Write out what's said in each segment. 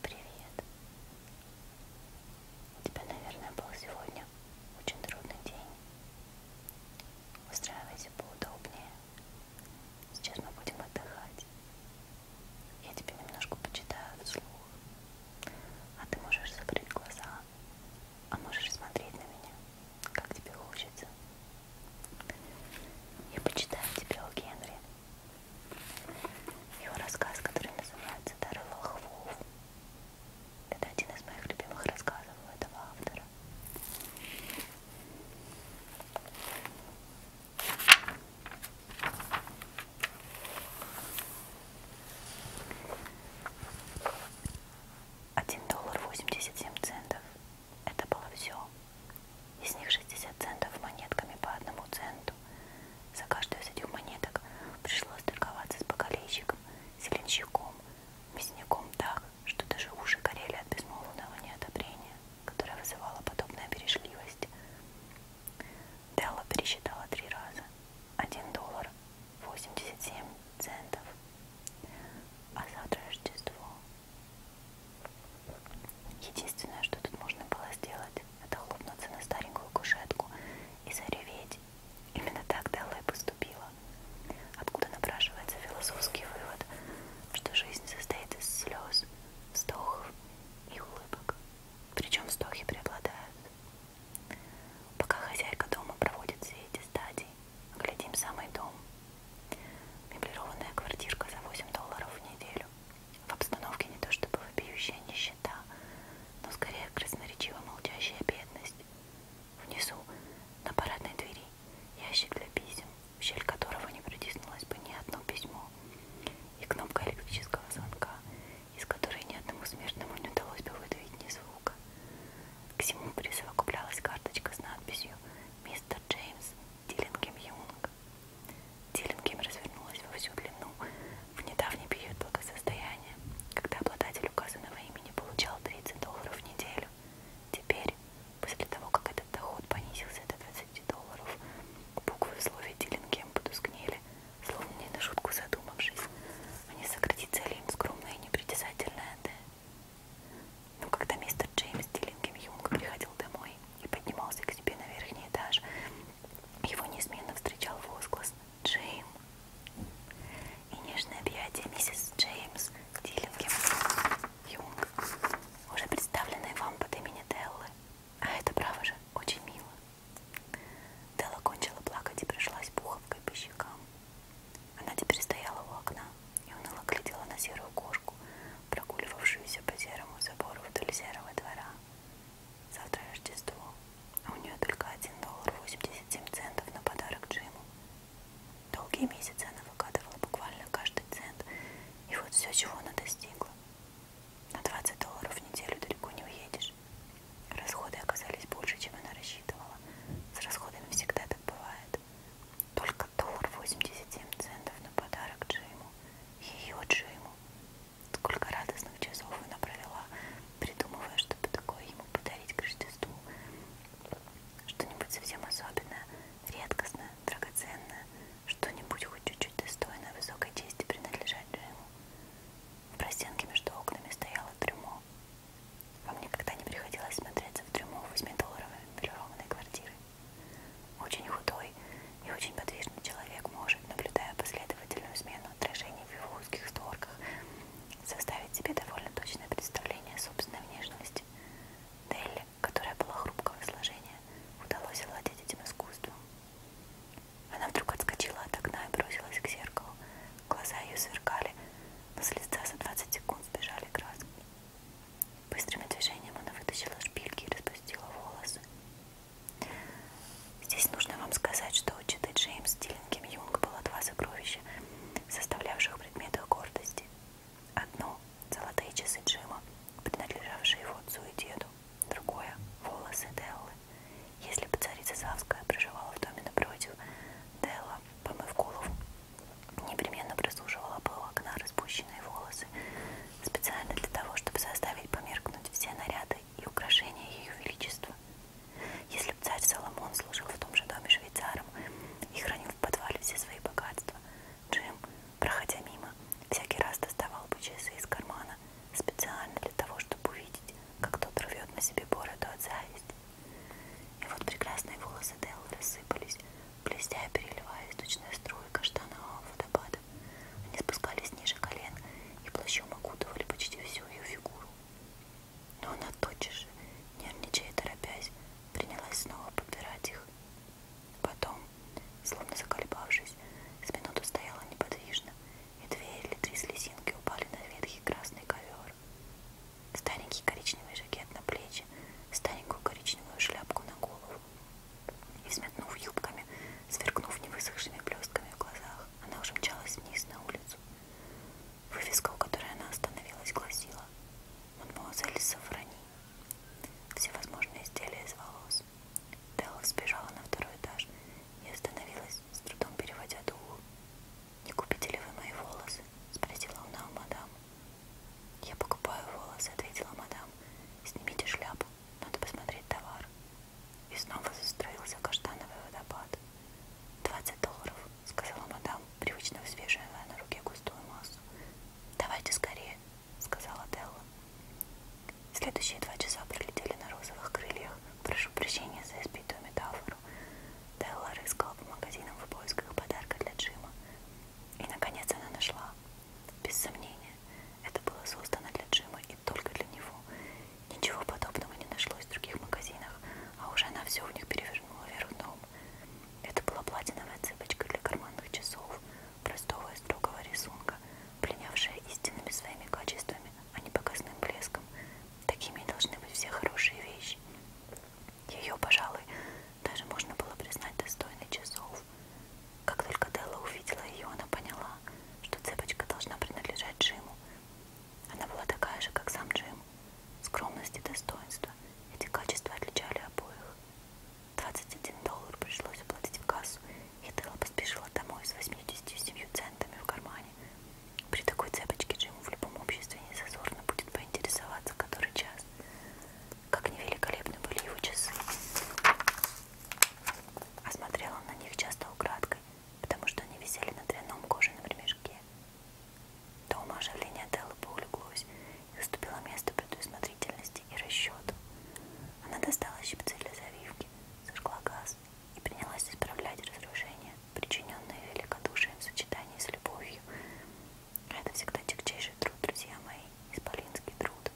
Привет. У тебя, наверное, был сегодня очень трудный день. Устраивайся поудобнее. Сейчас мы будем отдыхать. Я тебе немножко почитаю вслух, а ты можешь закрыть глаза, а можешь смотреть на меня, как тебе хочется. Я почитаю тебе о Генри. Его рассказ, который называется «Дары волхвов». Это один из моих любимых рассказов у этого автора. 1 доллар 87 центов. Это было все. Из них 60 центов монетками по одному центу. За каждую из этих монеток пришлось торговаться с бокалейщиком, зеленщиком, мясником так, что даже уши горели от безмолвного неодобрения, которое вызывало подобная бережливость. Делла пересчитала три раза. Один доллар восемьдесят семь центов. А завтра Рождество. Единственное, что тут можно было сделать, это хлопнуться на старенькую кушетку и зареветь. Именно так Делла и поступила. Откуда напрашивается философский вывод, что жизнь состоит из слез, вздохов и улыбок причем вздохи преобладают. Пока хозяйка дома проводит все эти стадии, глядим самый дом. Меблированная квартирка за 8 долларов в неделю. В обстановке не то чтобы вопиющая нищета, но скорее красноречиво молчащая бедность. Внизу, на парадной двери, ящик для писем, в щель которого не протиснулось бы ни одно письмо, и кнопка электрического звонка, из которой ни одному смертному не удалось бы выдавить ни звука. К всему присовокуплялась карточка с надписью «Мистер Джеймс Диллингем Юнг». Диллингем развернулась во всю длину в недавний период благосостояния, когда обладатель указанного имени получал 30 долларов в неделю. Теперь, после того, как этот доход понизился до долларов. Буквы в слове Диллингем потускнели, словно не на шутку задумавшись. Они сократицали им скромное и непритязательное «Д». Но когда мистер Джеймс Диллингем Юнг приходил домой и поднимался к себе на верхний этаж, его неизменно встречал возглас «Джейм» и нежное объятие миссис Джеймс Диллингем Юнг, уже представленной вам под имени Деллы. А это, право же, очень мило. Дела кончила плакать и пришлась пуховкой по щекам. Она теперь стояла у окна и уныло глядела на серую кошку, прогуливавшуюся по серому забору вдоль серого двора. Завтра Рождество, а у нее только один доллар 87 центов на подарок Джиму. Долгие месяцы она выкатывала буквально каждый цент, и вот все, чего она достигла. На 20 долларов в неделю далеко не уедешь. Расходы оказались больше, чем она рассчитывала. С расходами всегда так бывает. Только доллар 87 центов на подарок Джиму. Ее Джиму. Сколько радостных часов она провела, придумывая, чтобы такое ему подарить к Рождеству. Что-нибудь совсем особенное, редкостное, драгоценное. Что-нибудь хоть чуть чуть достойно высокой чести принадлежать Джейму. В простенке между окнами стояло трюмо. Во мне когда не приходилось смотреться в трюмо восьмидолларовой меблированной квартиры. Очень худой и очень подвижный человек может, наблюдая последовательную смену отражений в его узких створках, составить себе довольно точное представление о собственной внешности. Делли, которая была хрупкого сложения, удалось овладеть этим искусством. Она вдруг отскочила от окна и бросилась к зеркалу. Глаза ее сверкали, но с лица за 20 секунд сбежали краски. Быстрым движением она вытащила шпильки и распустила волосы. Здесь нужно вам сказать, что у Читы Джеймс Стиллингем Юнг было два сокровища, составлявших предметы гордости. Одно — золотые часы Джима, принадлежавшие его отцу и деду. Другое — волосы Деллы. Если бы царица Савская проживала в доме напротив, Делла, помыв голову, непременно прислушивала бы у окна распущенные волосы, специально для того, чтобы заставить померкнуть все наряды и украшения ее величества. Если бы царь Соломон служил в том же доме швейцаром и хранил в подвале все свои богатства, Джим, проходя мимо, всякий раз доставал бы часы из кармана специально для того, чтобы увидеть, как тот рвет на себе бороду от зависти. И вот прекрасные волосы Деллы рассыпались, блестя и переливаясь точные струи каштанового водопада. Они спускались ниже колен и плащом окутывали почти всю ее фигуру. Но она тотчас же, нервничая и торопясь, принялась снова подбирать их. Потом, Словно заколебавшись, с минуту стояла неподвижно, и две или три слезинки упали на ветхий красный ковер. Старенький коричневый жакет на плечи, старенькую коричневую шляпку на голову. И взметнув юбками, сверкнув невысохшими блестками в глазах, она уже мчалась вниз на улицу. Вывеска, у которой она остановилась, гласила «Мадемуазель Сафрани». Всевозможные изделия из волос, Делла сбежала на второй этаж и остановилась, с трудом переводя дух. «Не купите ли вы мои волосы?» — спросила она у мадам. «Я покупаю волосы», — ответила мадам. «Снимите шляпу, надо посмотреть товар». И снова застроился каштановый водопад. «Двадцать долларов», — сказала мадам, привычно взвешивая на руке густую массу. «Давайте скорее», — сказала Делла. Следующие два часа пролетели на розовых крыльях. Прошу прощения за избитую метафору. Делла рыскала по магазинам в поисках подарка для Джима. И, наконец, она нашла. Без сомнения, это было создано для Джима и только для него. Ничего подобного не нашлось в других магазинах, а уже она все в них перевернула вверх дном. Это была платиновая цепочка для карманных часов, простого и строгого рисунка, пленявшая истинными своими качествами, а не показным блеском. Такими должны быть все хорошие вещи. Ее, пожалуй, даже можно было признать достойной часов. Как только Делла увидела ее, она поняла, что цепочка должна принадлежать Джиму. Она была такая же, как сам Джим. Скромность и достоинство. Эти качества отличали обоих. 21 доллар пришлось уплатить в кассу, и Делла поспешила домой с 87 центами в кармане. При такой цепочке Джиму в любом обществе не зазорно будет поинтересоваться, который час. Как невеликолепны были его часы. А смотрел он на них часто украдкой, потому что они висели на дрянном кожаном ремешке. Дома оживление Деллы поулеглось и уступило место предусмотрительности точности и расчету. Она достала щипцы для завивки, зажгла газ и принялась исправлять разрушения, причиненные великодушием в сочетании с любовью. Это всегда тягчайший труд, друзья мои, исполинский труд.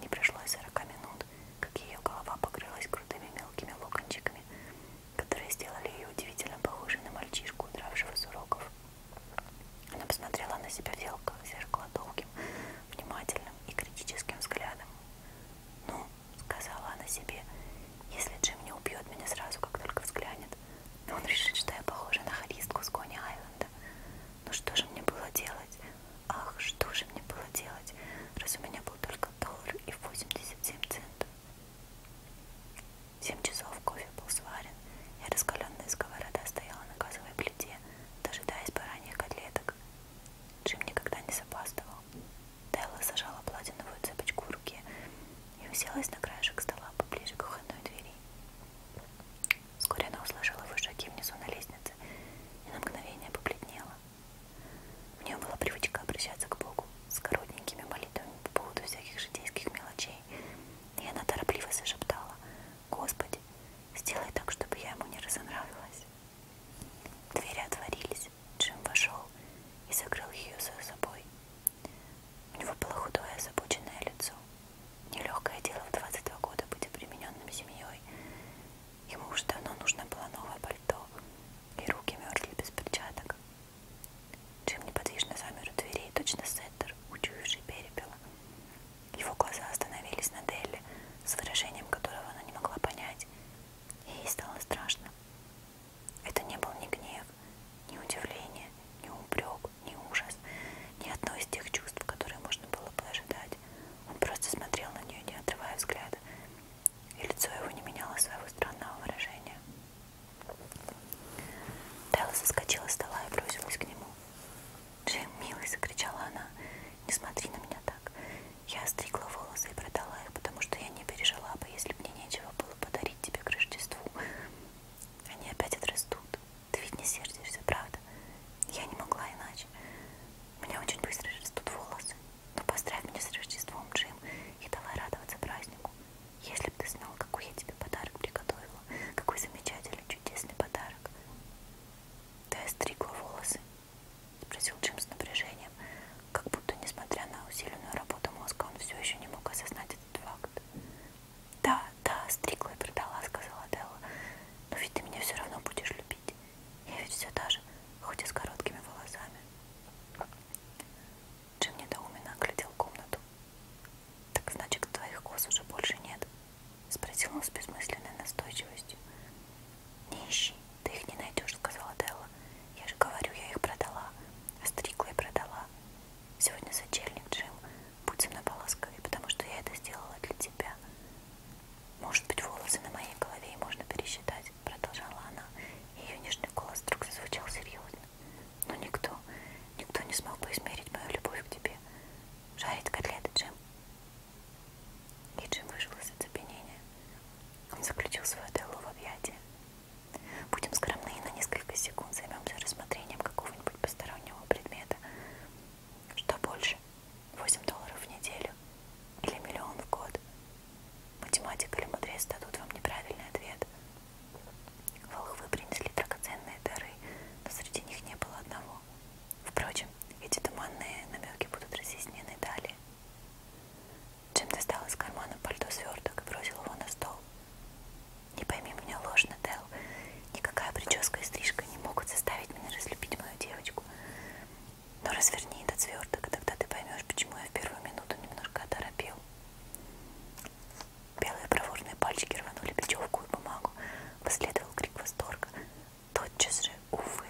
Не прошло и сорока минут, как ее голова покрылась крутыми мелкими локончиками, которые сделали ее удивительно похожей на мальчишку, удравшего с уроков. Она посмотрела на себя в зеркало долгим, внимательным и критическим взглядом. «Ну», — сказала она себе, — «если Джим не убьет меня сразу, как только взглянет, он решит, что я похожа на хористку с Кони Айленда. Ну что же мне было делать? Ах, что же мне было делать? Раз у меня был только доллар и 87 центов». Семь часов кофе был сварен, и раскаленная сковорода стояла на газовой плите плите, дожидаясь бараньих котлеток. Джим никогда не запаздывал. Тайла зажала платиновую цепочку в руке и уселась на краешек стола поближе к кухонной двери. Вскоре она услышала его шаги внизу на лестнице и на мгновение побледнела. У нее была привычка обращаться к Богу с коротенькими молитвами по поводу всяких житейских мелочей, и она торопливо зашептала Господи, сделай так, чтобы я ему не разонравилась. Двери отворились, Джим вошел и закрыл ее за собой. У него было худое, озабоченное лицо. Нелегкое дело в 22 года быть обремененным семьей. Ему уже давно нужно было новое пальто, и руки мерзли без перчаток. Джим неподвижно замер у дверей, точно сеттер, учуявший перепела. Его глаза остановились на Делли, с выражением которого она не могла понять. Ей стало страшно. Это не был ни гнев, ни удивление, ни упрек, ни ужас, ни одно из тех чувств, которые можно было бы ожидать. Он просто смотрел на нее, не отрывая взгляда, и лицо его не меняло своего странного выражения. Тайла соскочила с стола и бросилась к нему. Джим, милый, закричала она, не смотри на меня так. Я стригла волосы и продала их, потому что я не пережила бы, если бы мне нечего было подарить тебе к Рождеству. Они опять отрастут. Ты ведь не сердишься, правда? Я не могла иначе. У меня очень быстро растут волосы. Но ну, поздравь меня с Рождеством, Джим, и давай радоваться празднику. Если бы ты знал, какой я тебе подарок приготовила, подумала, какой замечательный, чудесный подарок. Ты остригла волосы? Спросил Джим с напряжением, как будто, несмотря на усиленную работу мозга, он все еще не мог осознать этот факт. Да, да, стригла и продала, сказала Делла. Но ведь ты меня все равно будешь любить. Я ведь все та же, хоть и с короткими волосами. Джим недоуменно оглядел комнату. Так значит, твоих коз уже больше нет? Спросил он с бессмысленной настойчивостью. Не ищи, ты их не найдешь, сказала Делла. Я же говорю, я их продала. Остригла и продала. Сегодня сочельник, Джим. Будь со мной поласковее, потому что я это сделала для тебя. Может быть, волосы на моей голове и можно пересчитать, продолжала она. Ее нежный голос вдруг зазвучал серьезно. Но никто, никто не смог бы измерить мою любовь к тебе жарить котлеты, Джим. И Джим вышел из оцепенения. Он заключил свою Деллу в объятия. Будем скромны и на несколько секунд займемся рассмотрением какого-нибудь постороннего предмета. Что больше? 8 долларов в неделю или миллион в год? Математик или мудрец дадут вам неправильный ответ, Волхвы принесли драгоценные дары, но среди них не было одного. Впрочем, эти туманные намеки будут разъяснены далее. Джим достал из кармана пальто сверток и бросил его на стол. Не пойми меня ложно, Дел. Никакая прическа и стрижка не могут заставить меня разлюбить мою девочку. Но разверни этот сверток, и тогда ты поймешь, почему я в первую минуту немножко оторопел. Белые проворные пальчики рванули бечевку и бумагу. Последовал крик восторга. Тотчас же, увы,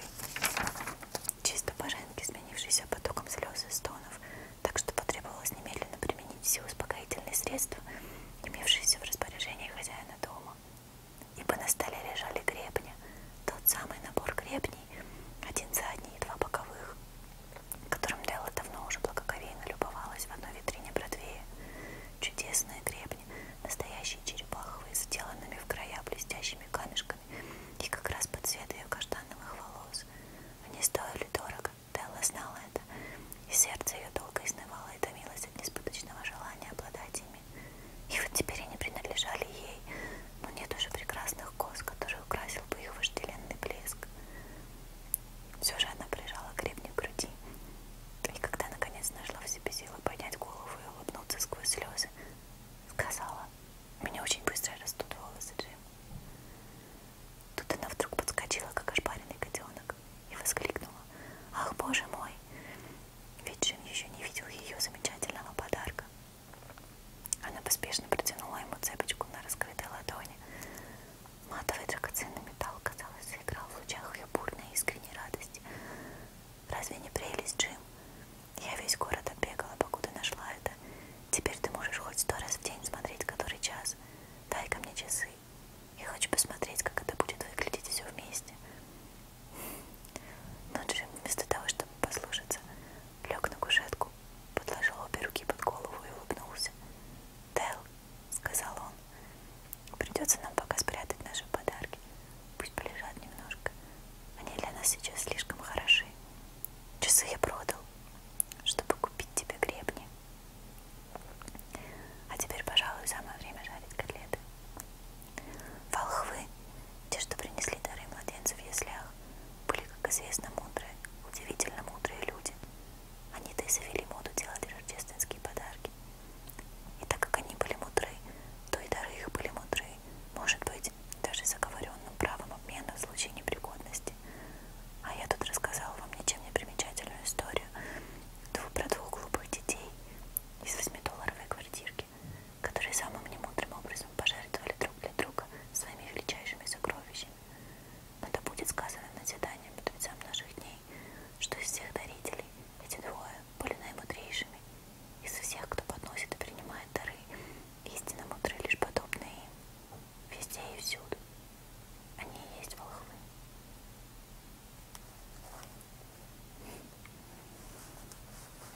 чисто по-женски сменившийся потоком слез и стонов, так что потребовалось немедленно применить все успокоительные средства, имевшиеся в распоряжении хозяина дома. Ибо на столе лежали гребни, тот самый набор гребней, один задний и два боковых, которым Делла давно уже благоговейно любовалась в одной витрине Бродвея чудесные гребни, настоящие черепаховые, сделанными в края блестящими камешками и как раз под цвет ее каштановых волос. Они стоили дорого, Делла знала это, и сердце ее долго изнывало и томилось от неспыточного желания обладать ими. И вот теперь они принадлежали ей, но нет уже прекрасных коз, которые украсил бы их вожделенный блеск. Все же она прижала гребни к груди. И когда наконец нашла в себе силы поднять голову и улыбнуться сквозь слезы, сказала, меня очень быстро растут волосы, Джим. Тут она вдруг подскочила, как ошпаренный котенок, и воскликнула, ах, боже мой, ведь Джим еще не видел ее замечательного подарка. Она поспешно протянула ему цепочку на раскрытой ладони, Матовый драгоценный металл, казалось, заиграл в лучах ее бурной искренней радости. Разве не прелесть, Джим? Я весь город оббегала, покуда нашла это. Теперь ты можешь хоть сто раз в день смотреть, который час. Дай-ка мне часы. Я хочу посмотреть, как это будет выглядеть все вместе. Но Джим, вместо того, чтобы послушаться, лег на кушетку, подложил обе руки под голову и улыбнулся. Дэл, — сказал он. «Придется нам пока спрятать наши подарки. Пусть полежат немножко. Они для нас сейчас слишком хороши. Часы я продал, чтобы купить тебе гребни. А теперь, пожалуй, самое время жарить котлеты. Волхвы, те, что принесли дары младенцев в яслях, были, как известно, мудрые, удивительно мудрые люди. Они-то и завели моду делать рождественские подарки. И так как они были мудры, то и дары их были мудры, может быть, даже заговоренным правом обмена в случае непригодности. А я тут рассказала вам ничем не примечательную историю про двух глупых детей из восьмидолларовой квартирки, которые самым немудрым образом пожертвовали друг для друга своими величайшими сокровищами. Но да будет сказано на свидание мудрецам наших дней, что из всех дарителей эти двое были наимудрейшими. Из всех, кто подносит и принимает дары, истинно мудры лишь подобные им. Везде и всюду. Они и есть волхвы.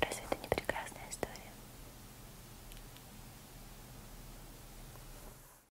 Разве это не прекрасная история?